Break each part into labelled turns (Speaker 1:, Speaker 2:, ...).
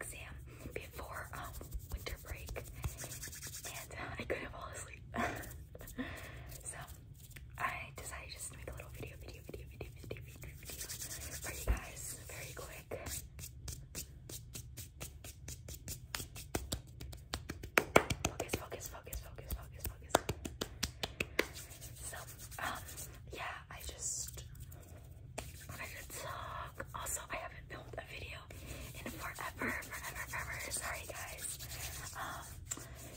Speaker 1: exam before um, winter break, and I couldn't fall asleep. so I decided just to make a little video, video, video, video, video, video, video for you guys, very quick. Focus, focus, focus, focus, focus, focus. So um yeah, I just what a good talk. Also, I haven't filmed a video in forever, forever, forever. Sorry, guys. Um,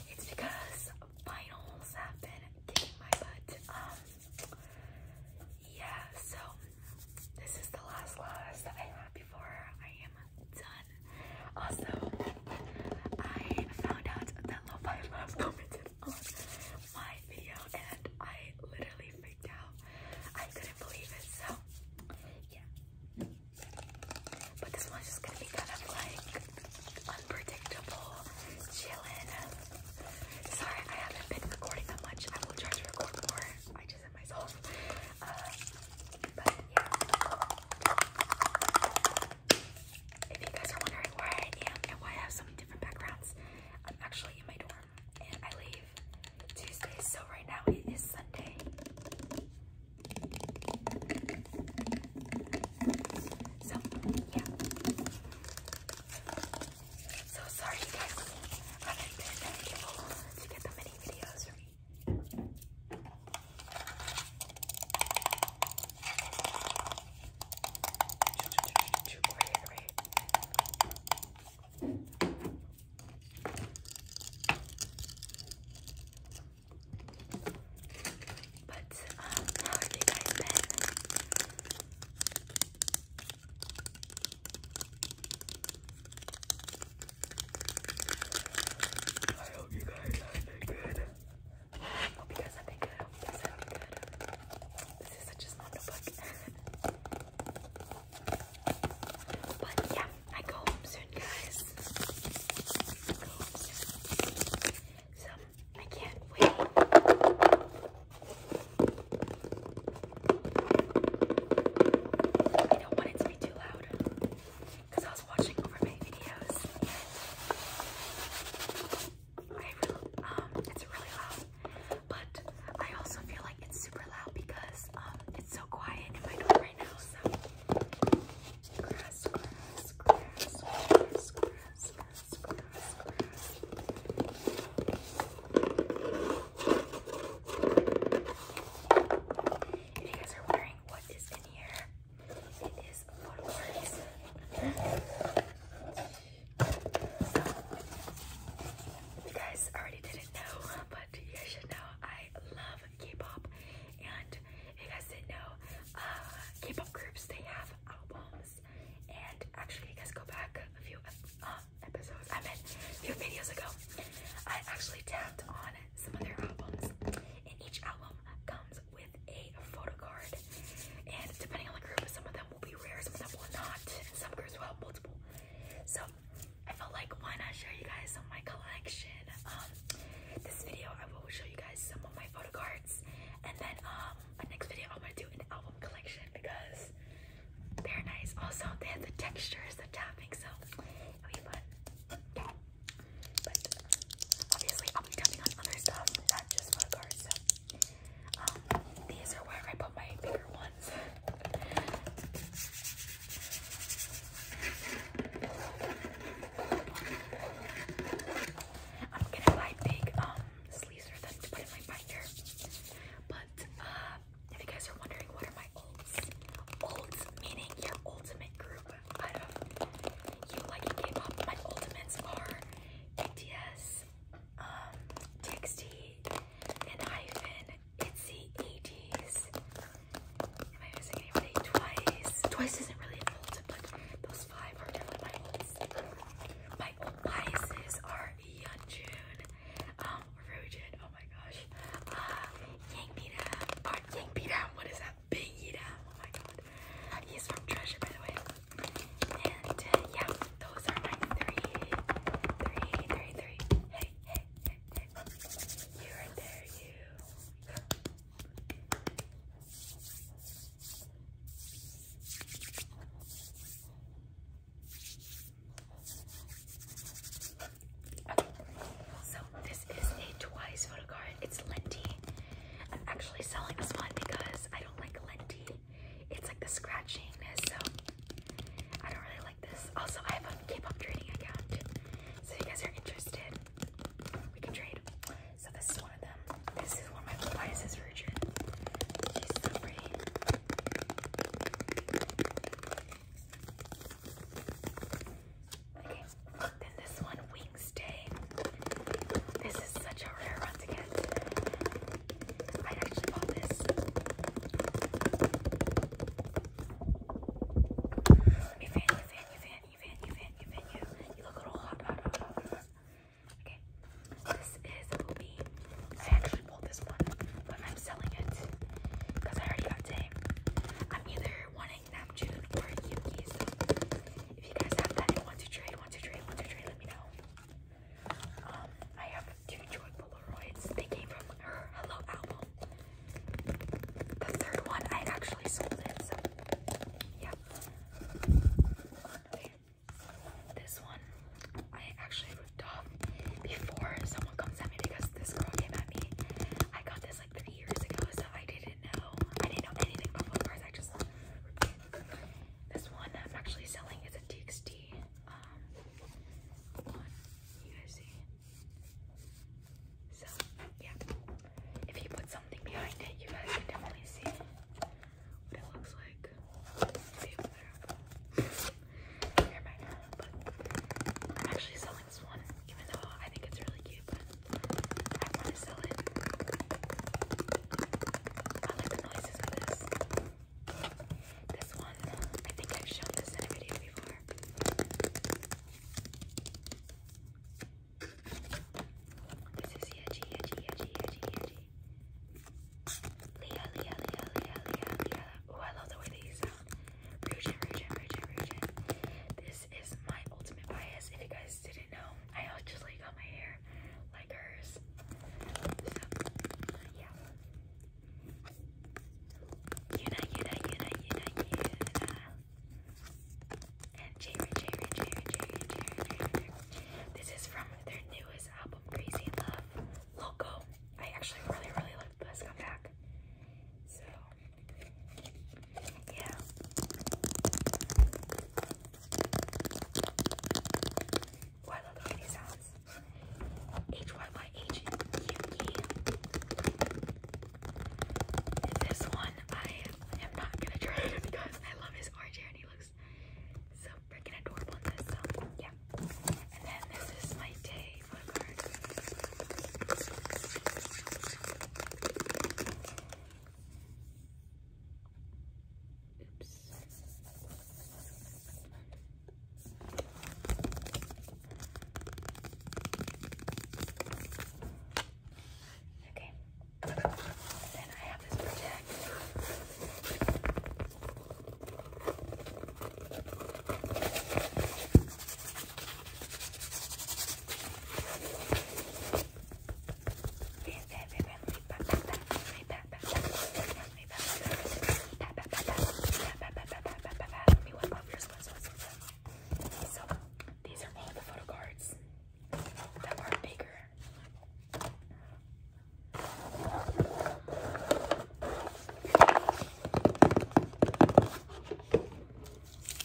Speaker 1: it's because finals have been kicking my butt. Um, yeah, so this is the last loss that I have before I am done. Also, I found out that Lo-Fi Love commented on my video and I literally freaked out. I couldn't believe it, so yeah. But this one's just gonna be kind of like unpredictable, chillin'. Sorry, I haven't been recording that much. I will try to record more. I just am myself. Uh, but yeah. If you guys are wondering why I am and why I have so many different backgrounds, I'm actually in my dorm and I leave Tuesday, so right now it is Sunday. So, yeah. So sorry, guys. I have to get that many videos for me. But um, how have you guys been? I hope you guys have been good because that'd be good. Because This is such a small notebook. but yeah, I go home soon, guys. I can't wait. I don't want it to be too loud because I was watching over my videos. Um, it's really loud, but I also feel like it's super loud because um, it's so quiet in my door right now. So you guys are wondering what is in here, you guys already didn't know, but you should know I love K-pop. And if you guys didn't know, uh, K-pop groups, they have albums. And actually, you guys go back a few uh, episodes, I meant a few videos ago, I actually tapped on some of their albums. And each album comes with a photo card. And depending on the group, some of them will be rare, some of them will not. some groups will have multiple. So I felt like why not show you guys some of my collection? Um, this video I will show you guys some of my photo cards, and then um, the next video I'm gonna do an album collection because they're nice. Also, they have the textures, the tapping, so but obviously, I'll be tapping on other stuff, not just photo cards. So, um, these are where I put my bigger ones. I'm gonna buy big um sleeves for them to put in my binder. But uh, if you guys are wondering what are my olds, olds meaning your ultimate group. I don't you like K-pop. My ultimates are BTS, TXT, um, and hyphen. 80s. Am I missing anybody? Twice. Twice isn't really ultimate, but those five are my old biases are Yeonjun, um, Rujin, oh my gosh, uh, Yang Bida, or Yang Bida, what is that? Pegida. Oh my god. He's from Treasure, by the way. And uh, yeah, those are my three, three, three, three. Hey, hey, hey, hey. You are there, you. so this is a twice photo card. It's Lenti. I'm actually selling this one because I don't like linty. It's like the scratchiness, so I don't really like this. Also, I have a K-pop trading account, so if you guys are interested, we can trade. So this is one of them. This is one of my biases for She's so Okay. Then this one, Wings Day. This is such a rare one to get. I actually bought this. You fan, you fan, you fan, you fan, you fan, you fan, you. You look a little hot, hot, Okay. This is Obi. I actually bought this one, but I'm selling it because I already got Dame. I'm either wanting like Neptune or Yuki. So if you guys have that and want to trade, want to trade, want to trade, let me know. Um, I have two joy Polaroids. They came from her Hello album. The third one I actually sold it. yeah. This one I actually ripped off before someone comes at me because this girl came at me. I got this like three years ago, so I didn't know. I didn't know anything about book I just this one I'm actually selling is a TXT. Um, you guys see. So yeah, if you put something behind it, you guys can definitely see what it looks like. Never mind. But I'm actually selling this one, even though I think it's really cute. I want to sell it. I like the noises of this. This one, I think I've shown this in a video before. This is Yeji, Yeji, Yeji, Yeji, Yeji. Leah, Leah, Leah, Leah, Leah, Leah. Oh, I love the way they sound. Rujin, Rujin, Rujin, Rujin this is my ultimate bias. If you guys didn't know, I actually got my hair like hers. So, yeah. Yuna, Yuna, Yuna, Yuna, Yuna. And Jared, Jared, Jared, Jared, Jared, Jared. This is from their newest album, Crazy Love. Loco. I actually really, really like this comeback. So, yeah. Why oh, I H Y Y H U E. This one I am not gonna try because I love his orange hair and he looks so freaking adorable in this. yeah. And then this is my day Oops. Okay. Then I have this project me wipe So, these are all the photo cards that are bigger.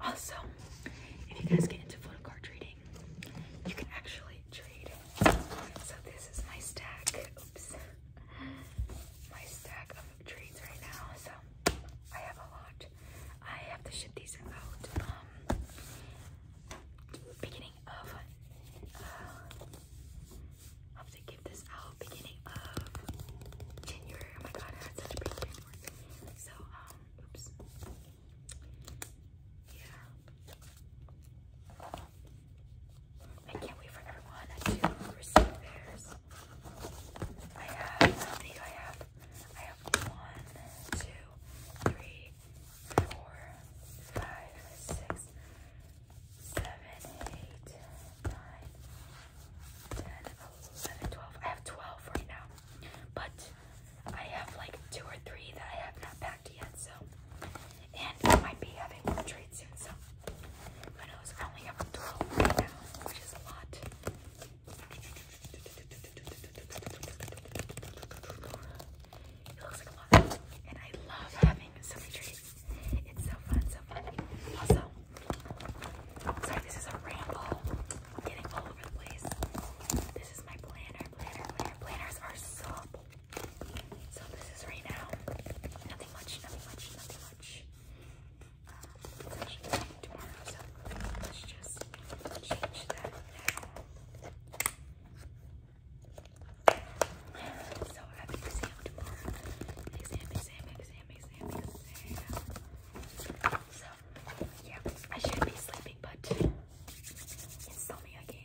Speaker 1: Also, if you guys get into photo card trading, you can actually trade. So this is my stack. Oops. My stack of trades right now. So I have a lot. I have to ship these out um, beginning of uh, I'm to give this out beginning of January. Oh my god, I had such a big So, um, Yeah. I can't wait for everyone to receive theirs. I have, how many I have? I have one, two, three, four, five, six, seven, eight, nine, ten, eleven, twelve. I have twelve right now, but I have like two or three that I have not packed yet. So, and I might be having more treats soon. So, who knows? I only have twelve right now, which is a lot. It looks like a lot, and I love having so many trees. It's so fun, so fun. Also, sorry, this is a ramble. getting all over the place. This is my planner, Planners are so So this is right now. Nothing much, nothing much, nothing much. Uh, so I have an exam tomorrow. Exam, exam, exam, exam, exam. So yeah, I should be sleeping, but it's me again.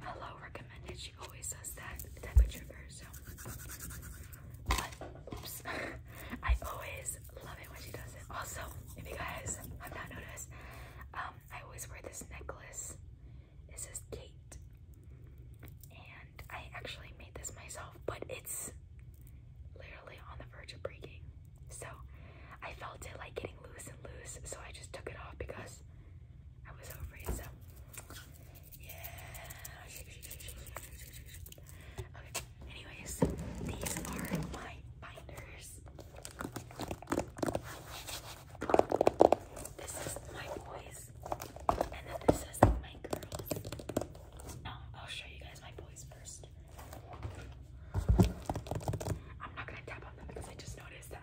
Speaker 1: Hello recommended. She always does that type of trigger. So, but oops, I always love it when she does it. Also, if you guys have not noticed, um, I always wear this necklace. It says Kate, and I actually made this myself, but it's literally on the verge of breaking. So I felt it like getting loose and loose, so I just took it off because I was over so yeah. anyways, these are my binders. This is my boys, and then this is my girls. No, I'll show you guys my boys first. I'm not gonna tap on them because I just noticed that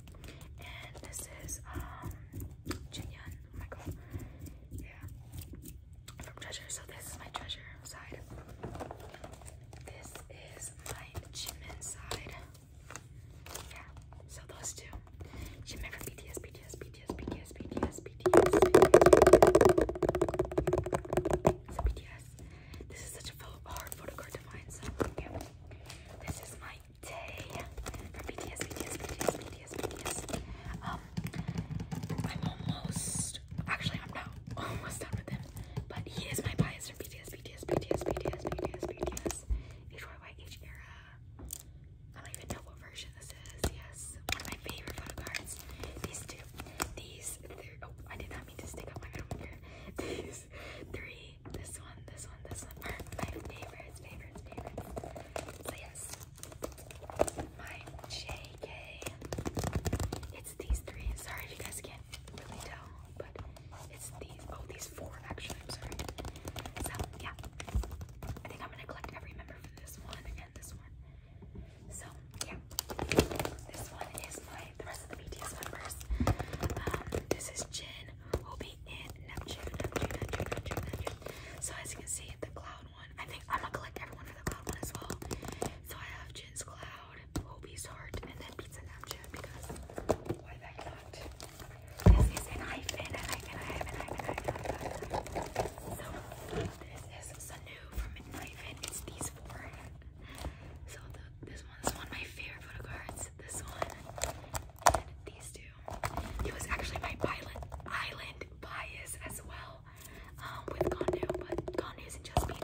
Speaker 1: and this is um Oh my god. Yeah. From treasure. So this is my treasure side. This is my Jimin side. Yeah. So those two. Jimin from BTS, BTS, BTS, BTS, BTS, BTS, BTS. BTS. This is such a hard photo card to find, so yeah. This is my day for BTS, BTS, BTS, BTS, BTS. Um, I'm almost, actually I'm not almost done with him, but he is my bias for BTS, BTS, BTS, BTS, BTS, BTS, HYYH era. I don't even know what version this is. Yes, one of my favorite photo cards. These two, these, oh, I did not mean to stick up my own here. These three this one, this one, this one are my favorites, favorites, favorites. So yes, my JK. It's these three. Sorry if you guys can't really tell, but it's these. Oh, these four actually. I'm sorry. So yeah, I think I'm gonna collect every member for this one and this one. So yeah, this one is my the rest of the BTS members. Um, this is Jin. Neptune, Hobie, and Neptune, So as you can see, the cloud one, I think I'm gonna collect everyone for the cloud one as well. So I have Jin's cloud, Obi's heart, and then Pizza Neptune because why not? This is a hyphen, an hyphen, an hyphen, an hyphen, an hyphen. So this is Sanu from Hyphen. It's these four. So the, this one's one of my favorite photo cards. This one, these two. He was actually my island bias as well um, with Gondu, but Gondu isn't just me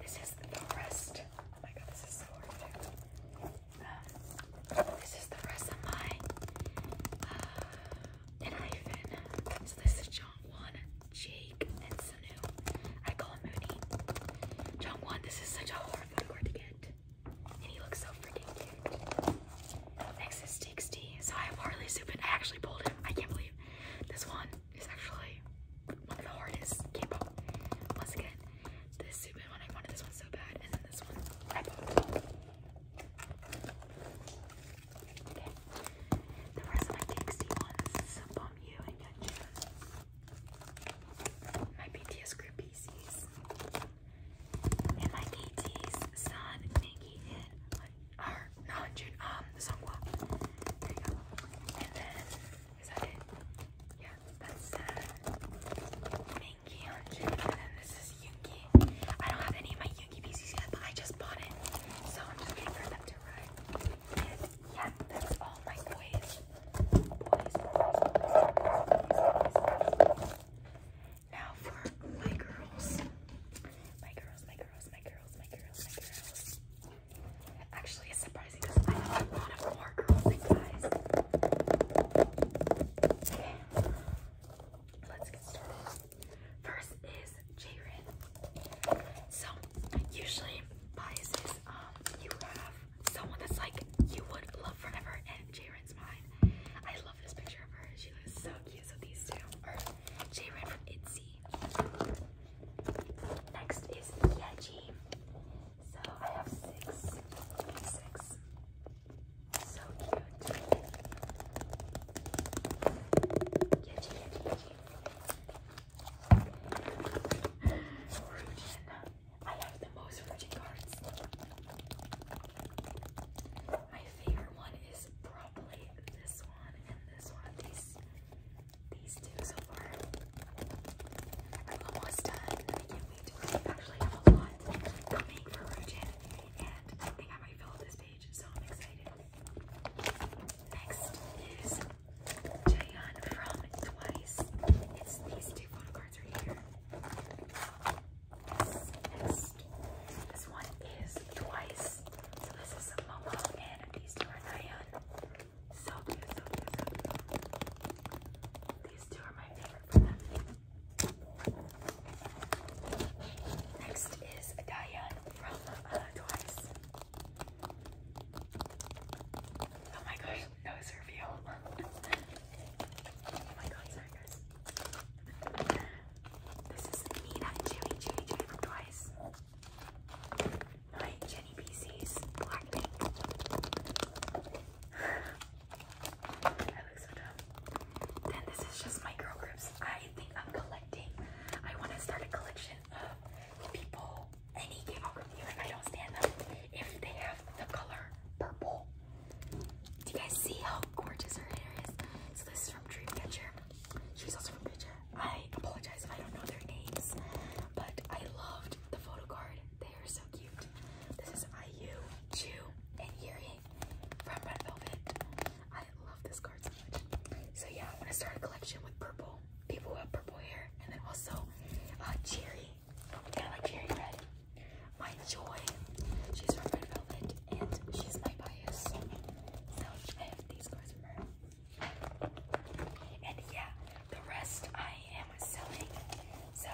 Speaker 1: This is the rest. Oh my god, this is so hard um, This is the rest of my uh, So this is John 1, Jake, and also new. I this is such a horrifying word to get. And he looks so freaking cute. I have hardly Supin. I actually pulled him. I can't believe this one is actually one of the hardest K-pop. Once this Supin one, I wanted this one so bad. And then this one, on you My BTS group And my KT's son, Nikki, and or not June, um, Songwa. There you go. is that it? Yeah, that's uh, Minky on June. And then this is Yungi. I don't have any of my Yungi PCs yet, but I just bought it. So I'm just waiting for them to arrive. Yeah, that's all my boys. Boys, boys, boys, boys, boys. Now for my girls. My girls, my girls, my girls, my girls, my girls. Actually, it's surprising because I have a lot of more girls than guys. Okay. Let's get started. First is Jaren. So, usually, biases um, you have someone that's like you would love forever, and Jaren's mine. I love this picture of her. She looks so cute. So these two are Jaren from Itzy. Next is Yeji. So I have six, six. So cute. Yeji, Yeji, Yeji. Rudian. I have the most Rudian cards. My favorite one is probably this one and this one. These these two so far. I'm almost done. I I have a lot coming for Rudian and I think I might fill up this page, so I'm excited. Next is Jayan from Twice. It's these two cards right here. this one is Twice. So this is Momo and these are Jayan. So These two are my favorite Next is Diane from uh, Twice. Oh my gosh, nose review. oh my god, sorry guys. This is Nina Chewy Chewy Chewy Twice. My Jenny PC's Blackpink. I look so dumb. Then this is just my girl groups. I think I'm collecting. I want to start a collection of people any gamma review if I don't stand them if they have the color purple. Do you guys see how gorgeous her hair is? this is from Dreamcatcher. She's also from Picture. I apologize I don't know their names, but I loved the photo card. They are so cute. This is IU, Chu, and Yuri from Red Velvet. I love this card so much. So yeah, I'm gonna start a collection with purple people with purple hair, and then also cherry, uh, kind of cherry red. My joy, she's from Red Velvet, and she's my bias. So I have these guys from her. And yeah, the rest I am selling. So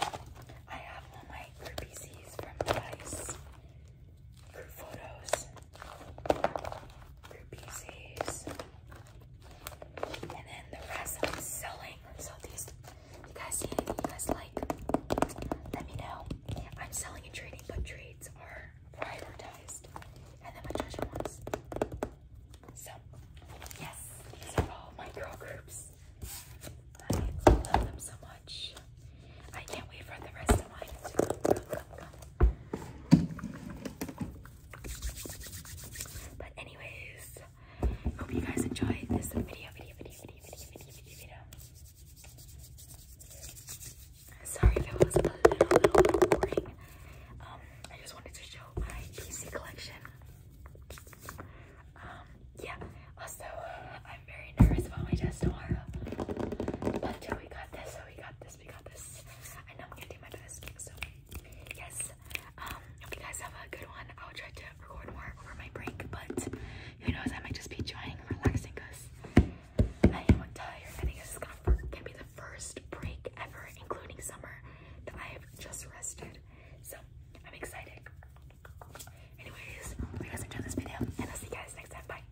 Speaker 1: I have all my group PCs from Dice, group photos, group PCs, and then the rest I'm selling. So these, you guys see anything you guys like? Let me know. I'm selling and trading, but trades are privatized. And then my treasure ones. So, yes, these are all my groups. I love them so much. I can't wait for the rest of mine but anyways, hope you guys enjoyed this video, video, video, video, video, video, video, video. Sorry if it was a little, little, little boring. Um, I just wanted to show my PC collection. Um, yeah. Also, uh, I'm very nervous about my test tomorrow. But we got this, so we got I know I'm gonna do my best. So, yes. Um, hope you guys have a good one. I'll try to record more over my break, but who knows? I might just be trying and I am tired. I think this is gonna, be the first break ever, including summer, that I have just rested. So, I'm excited. Anyways, hope you guys enjoyed this video, and I'll see you guys next time. Bye.